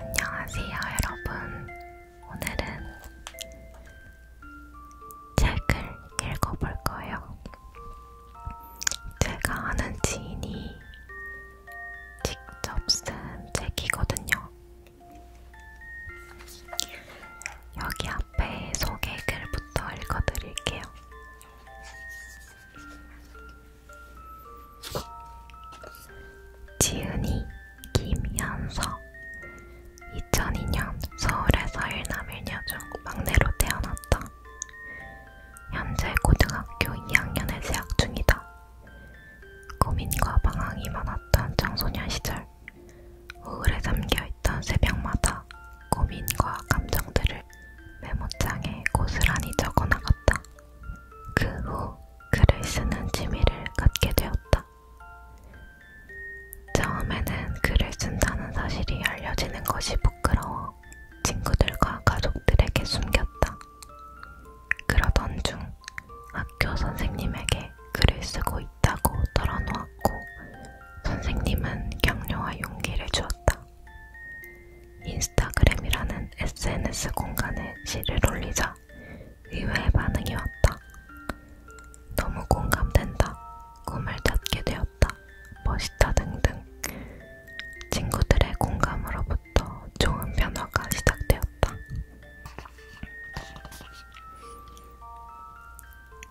안녕하세요, 여러분. 오늘은 책을 읽어볼 거예요. 제가 아는 지인이 직접 쓴 책이거든요. 여기 앞에 소개글부터 읽어드릴게요. 지은이 김현석 2002년 서울의 서일남을 여중 막내로 태어났다. 현재 고등학교 2학년에 재학 중이다. 고민과 방황이 많았던 청소년 시절, 우울에 잠겨있던 새벽마다 고민과 감정들을 메모장에 고스란히 적어나갔다. 그 후 글을 쓰는 취미를 갖게 되었다. 처음에는 글을 쓴다는 사실이 알려지는 것이 부끄러워 친구들과 가족들에게 숨겼다. 그러던 중 학교 선생님에게 글을 쓰고 있다고 털어놓았고 선생님은 격려와 용기를 주었다. 인스타그램이라는 SNS 공간에 시를 올리자 의외의 반응이 왔다. 너무 공감된다. 꿈을 찾게 되었다. 멋있다 등등. 친구들의 공감으로부터 좋은 변화가 시작되었다.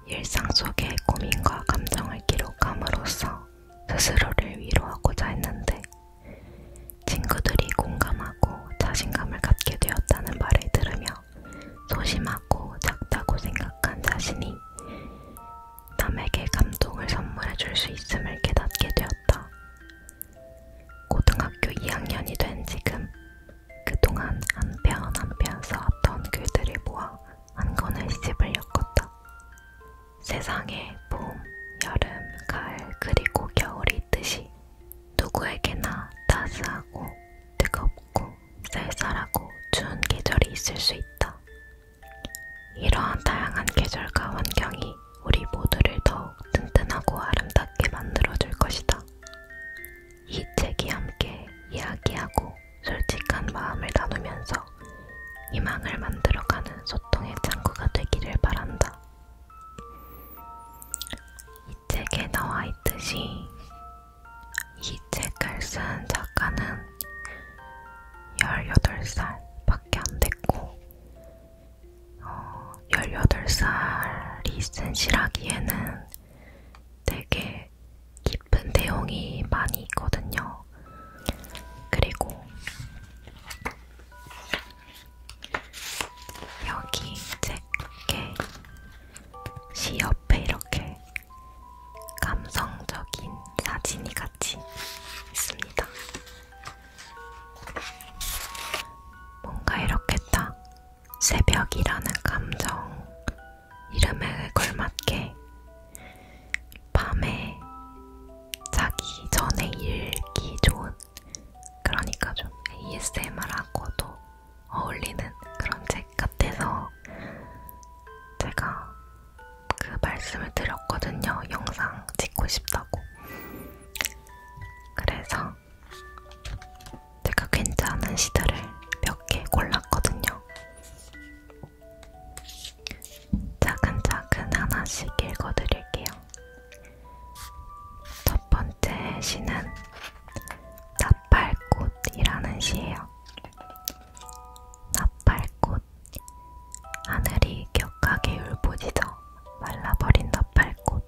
일상 속의 고민과 감정을 기록함으로써 스스로를 위로하고자 했는데 친구들이 공감하고 자신감을 갖게 되었다는 말을 들으며 소심하고 작다고 생각한 자신이 남에게 감동을 선물해 줄 수 있음을 깨닫게 되었다. 고등학교 2학년이 된 지금 그동안 한편한편 한편 써왔던 글들을 모아 한 권의 시집을 엮었다. 세상에 봄, 여름, 가을, 그리고 겨울이 있듯이 누구에게나 따스하고 뜨겁고 쌀쌀하고 추운 계절이 있을 수 있다. 이러한 다양한 계절과 환경이 우리 모두를 더욱 튼튼하고 아름답게 만들어줄 것이다. 이 책이 함께 이야기하고 솔직한 마음을 나누면서 희망을 만들어가는 소통의 창구가 되기를 바란다. 이 책에 나와 있듯이 이 책을 쓴 작가는 18살밖에 안 됐고 어, 18살이 쓴 시라기에는 되게 깊은 내용이 많이 있거든요. 그리고 여기 책의 시 옆에 이렇게 감성적인 사진이 같이 있습니다. 뭔가 이렇게 딱 새벽이라는 감정 이름에 걸맞게 밤에 자기 전에 읽기 좋은 그러니까 좀 ASMR하고도 어울리는 그런 책 같아서 제가 그 말씀을 드렸거든요. 영상 찍고 싶다고. 그래서 제가 괜찮은 시들을 몇 개 골랐거든요. 차근차근 하나씩 읽어드릴게요. 첫 번째 시는 나팔꽃이라는 시예요. 나팔꽃 하늘이 격하게 울부짖어 말라버린 나팔꽃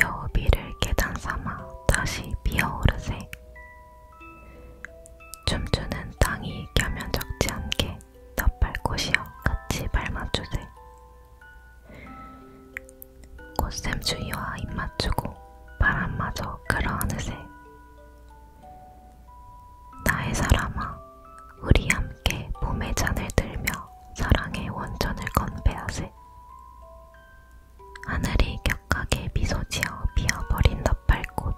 여우비를 계단 삼아 다시 피어오르세 춤추는 땅이 겸면 적지 않게 덧발꽃이여 같이 밟아주세. 꽃샘 주위와 입 맞추고 바람마저 끌어안으세. 나의 사람아, 우리 함께 봄의 잔을 들며 사랑의 원천을 건배하세. 하늘이 격하게 미소지어 피어버린 너팔꽃.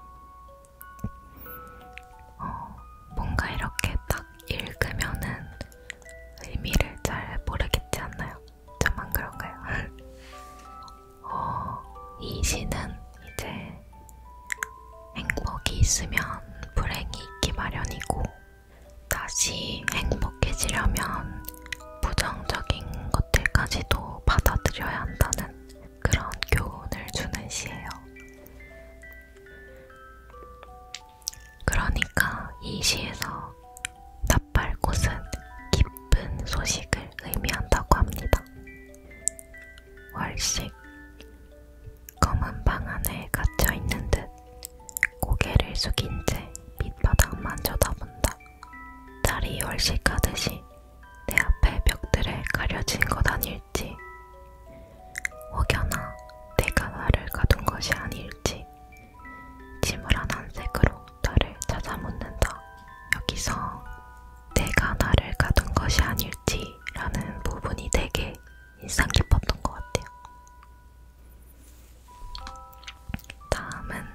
어, 뭔가 이렇게 딱 읽으면은 의미를 잘 모르겠지 않나요? 저만 그런가요? 어, 이 시는 이제 행복이 있으면 불행이 있기 마련이고, 다시 행복해지려면 부정적인 것들까지도 받아들여야 한다는 그런 교훈을 주는 시예요. 그러니까 이 시에서 낯발꽃은 기쁜 소식을 의미한다고 합니다. 월식 검은 방 안에 갇혀있는 듯 고개를 숙인 채 밑바닥만 쳐다본다. 딸이 월식하듯이 내 앞에 벽들에 가려진 것 아닐지 혹여나 내가 나를 가둔 것이 아닐지 지물한 한색으로 나를 찾아 묻는다. 여기서 내가 나를 가둔 것이 아닐지라는 부분이 되게 인상 깊었던 것 같아요. 다음은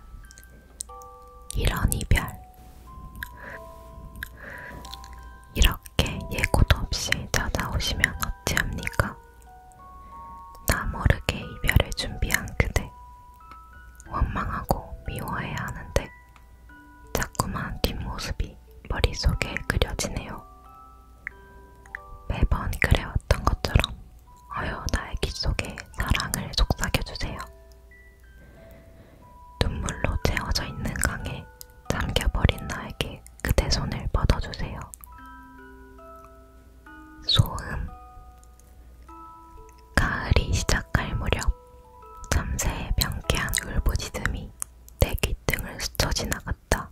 이런 이별. 이렇게 예고도 없이 찾아오시면 어찌합니까? 나 모르게 이별을 준비한 그대. 원망하고 미워해야 하는데 자꾸만 뒷모습이 머릿속에 그려지네요. 매번 그래왔던 것처럼 어여 나의 귀 속에 사랑을 속삭여주세요. 눈물로 채워져 있는 강에 잠겨버린 나에게 그대 손을 뻗어주세요. 소음 가을이 시작할 무렵 잠새의 명쾌한 울부짖음이 내 귓등을 스쳐 지나갔다.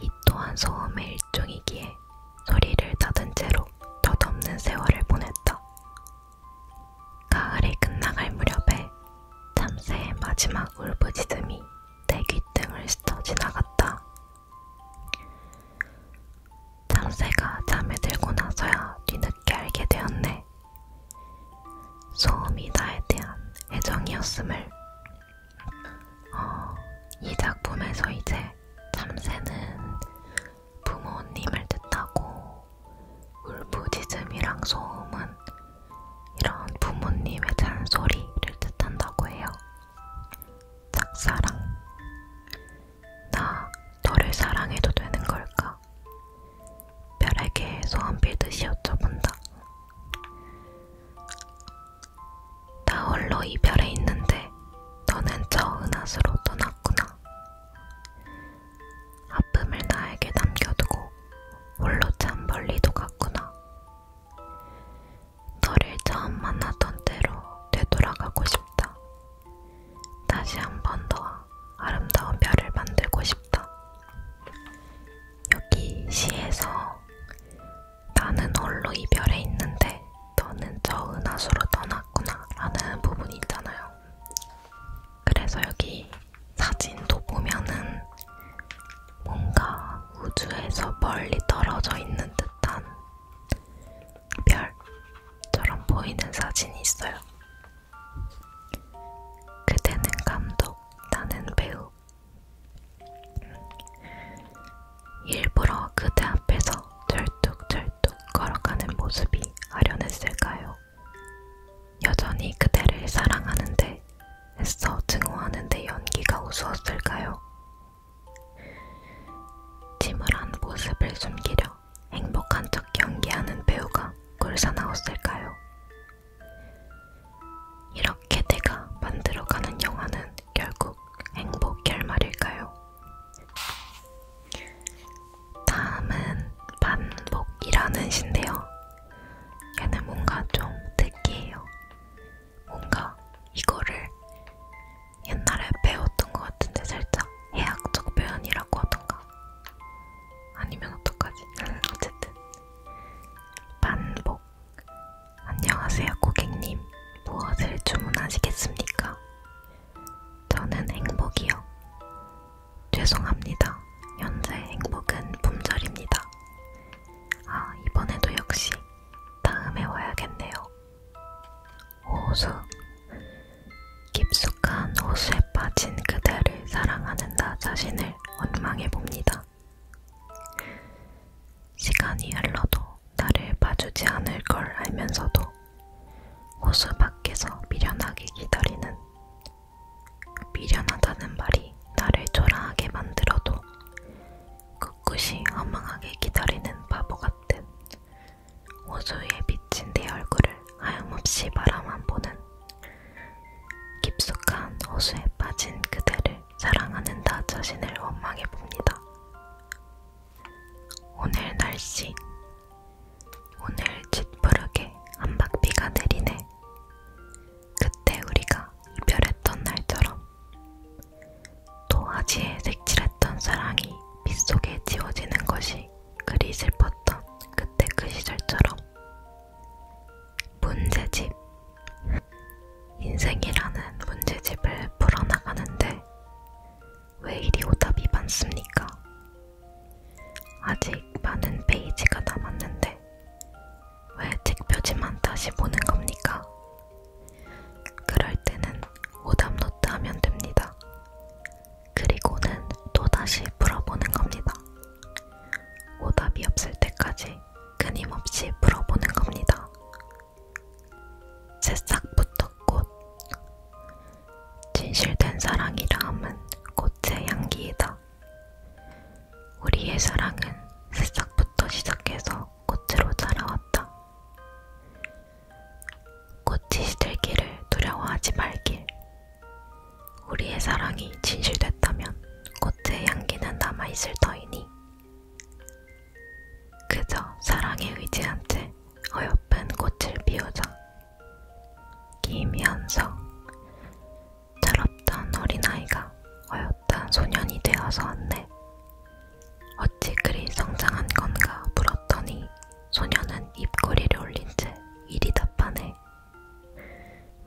이 또한 소음의 일종이기에 때 소리를 닫은 채로 덧없는 세월을 보냈다. 가을이 끝나갈 무렵에 참새의 마지막 울부짖음이 내 귓등을 스쳐 지나갔다. 참새가 잠에 들고 나서야 뒤늦게 알게 되었네. 소음이 나에 대한 애정이었음을. 어, 이 작품에서 이제 참새는 부모님을 뜻하고 울부짖음이랑 소음은 이런 부모님의 잔소리를 뜻한다고 해요. 짝사랑 나 너를 사랑해도 되는 걸까? 별에게 소원 빌듯이 여쭤본다. 나 홀로 이별해 있는데 너는 저 은하수로 떠났구나. 아픔을 나에게 남겨두고 홀로 참 멀리도 갔구나. 너를 처음 만났던 때로 되돌아가고 싶다. 다시 한번 너와 아름다운 별을 만들고 싶다. 여기 시에서 나는 홀로 이별해 있는데 너는 저 은하수로 떠났구나 라는 부분이 있잖아요. 그래서 여기 사진도 보면은 뭔가 우주에서 멀리 떨어져 있는 듯한 별처럼 보이는 사진이 있어요. 그대는 감독, 나는 배우. 일부러 그대 앞에서 절뚝절뚝 걸어가는 모습이 아련했을까요? 여전히 그대를 사랑하는데 애써 증오하는데 연기가 우스웠을까요? 침울한 모습을 숨기려 행복한 척 연기하는 배우가 꿀사나웠을까요? 이렇게 내가 만들어가는 영화는 결국 행복 결말일까요? 다음은 반복이라는 신데요. 얘는 뭔가 좀 특이해요. 뭔가 이거를 옛날에 배웠던 것 같은데 살짝 해학적 표현이라고 하던가 아니면 어떡하지? 어쨌든 반복 안녕하세요 고객님 무엇을 주문하시겠습니까? 저는 행복이요. 죄송합니다. 현재 행복은 품절입니다. 아, 이번에도 역시 다음에 와야겠네요. 호수. 깊숙한 호수에 빠진 그대를 사랑하는 나 자신을 원망해 봅니다. 시간이 흘러도 나를 봐주지 않을 걸 알면서도 호수 밖에서 미련하게 기다리는 미련하다는 말이 나를 초라하게 만들어도 꿋꿋이 허망하게 기다리는 바보 같은 호수에 비친 내 얼굴을 하염없이 바라만 보는 깊숙한 호수에 빠진 그대를 사랑하는 나 자신을 원망해 봅니다. 오늘 날씨 오늘 짓부르게 한박비가 내리네. 그때 우리가 이별했던 날처럼 또 아지에 색칠했던 사랑이 빗속에 지워지는 것이 그리 슬펐던 그때 그 시절처럼 문제집 인생이라는 문제집을 풀어나가는데 왜 이리 오답이 많습니까? 아직 많은 페이지가 남았는데 왜 책표지만 다시 보는 겁니까? 그럴 때는 오답 노트 하면 됩니다. 그리고는 또다시 풀어보는 겁니다. 오답이 없을 때까지 끊임없이 풀어보는 겁니다. 새싹부터 꽃 진실된 사랑이라함은 꽃의 향기이다. 우리의 사랑은 새싹부터 시작해서 꽃으로 자라왔다. 꽃이 시들기를 두려워하지 말길. 우리의 사랑이 진실됐다면 꽃의 향기는 남아있을 터이니 그저 사랑에 의지한 채 어여쁜 꽃을 피우자. 김현석 자랍던 어린아이가 어엿한 소년이 되어서 왔네. 어찌 그리 성장한 건가 물었더니 소년은 입꼬리를 올린 채 이리 답하네.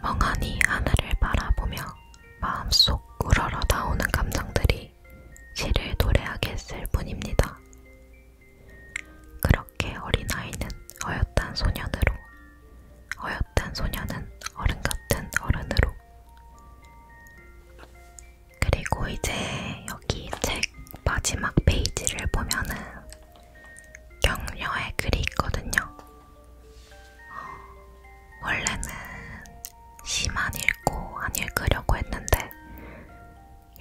멍하니 하늘을 바라보며 마음속 우러러 나오는 감정들이 단지 시를 노래하게 했을 뿐입니다. 그렇게 어린아이는 어엿한 소년으로, 어엿한 소년은 어른 같은 어른으로. 그리고 이제 여기 책 마지막 페이지를 보면은 격려의 글이 있거든요. 어, 원래는 시만 읽고 안 읽으려고 했는데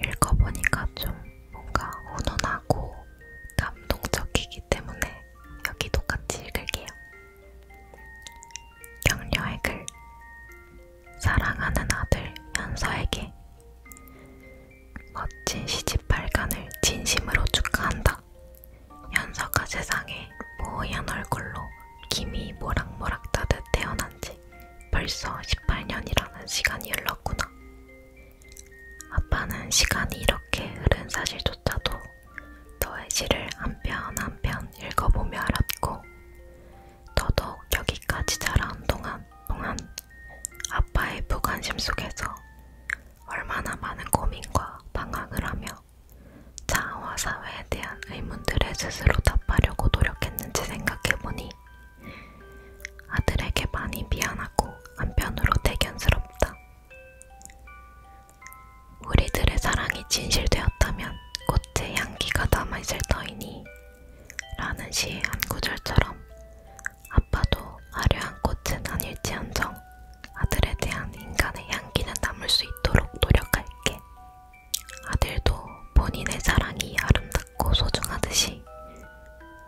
읽어보니까 좀 뭔가 훈훈하고 감동적이기 때문에 여기도 같이 읽을게요. 격려의 글 사랑하는 아들 현서에게 멋진 시집 발간을 진심으로 축하한다. 현서가 세상에 모호한 얼굴로 김이 모락모락 따듯 태어난 지 벌써 18년이라는 시간이 흘렀구나. 아빠는 시간이 이렇게 흐른 사실조차도 너의 시를 한편한편 읽어보며 알았고, 더더욱 여기까지 자라온 동안 동안 아빠의 무관심 속에서 얼마나 많은 고민과 방황을 하며 자아와 사회에 대한 의문들에 스스로 답하려고 노력했는지 생각해보니 아들에게 많이 미안하고 한편으로 대견스럽다. 우리들의 사랑이 진실되었다면 꽃의 향기가 남아있을 터이니 라는 시의 한 구절처럼 아빠도 화려한 꽃은 아닐지언정 아들에 대한 인간의 향기는 남을 수 있도록 노력할게 아들도 본인의 사랑이 아름답고 소중하듯이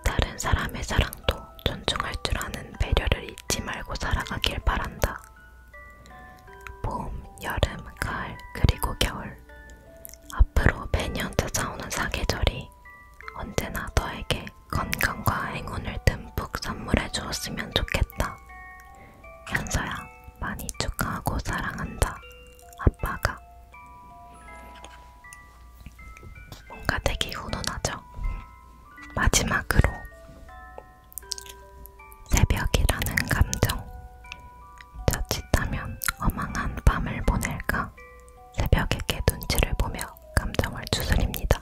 다른 사람의 사랑도 존중할 줄 아는 배려를 잊지 말고 살아가길 바란다. 봄, 여름, 가을, 그리고 겨울. 앞으로 매년 찾아오는 사계절이 언제나 너에게 건강과 행운을 듬뿍 선물해 주었으면 좋겠다. 현서야. 많이 축하하고 사랑한다. 아빠가. 뭔가 되게 훈훈하죠? 마지막으로 새벽이라는 감정. 자칫하면 어망한 밤을 보낼까 새벽에게 눈치를 보며 감정을 추스립니다.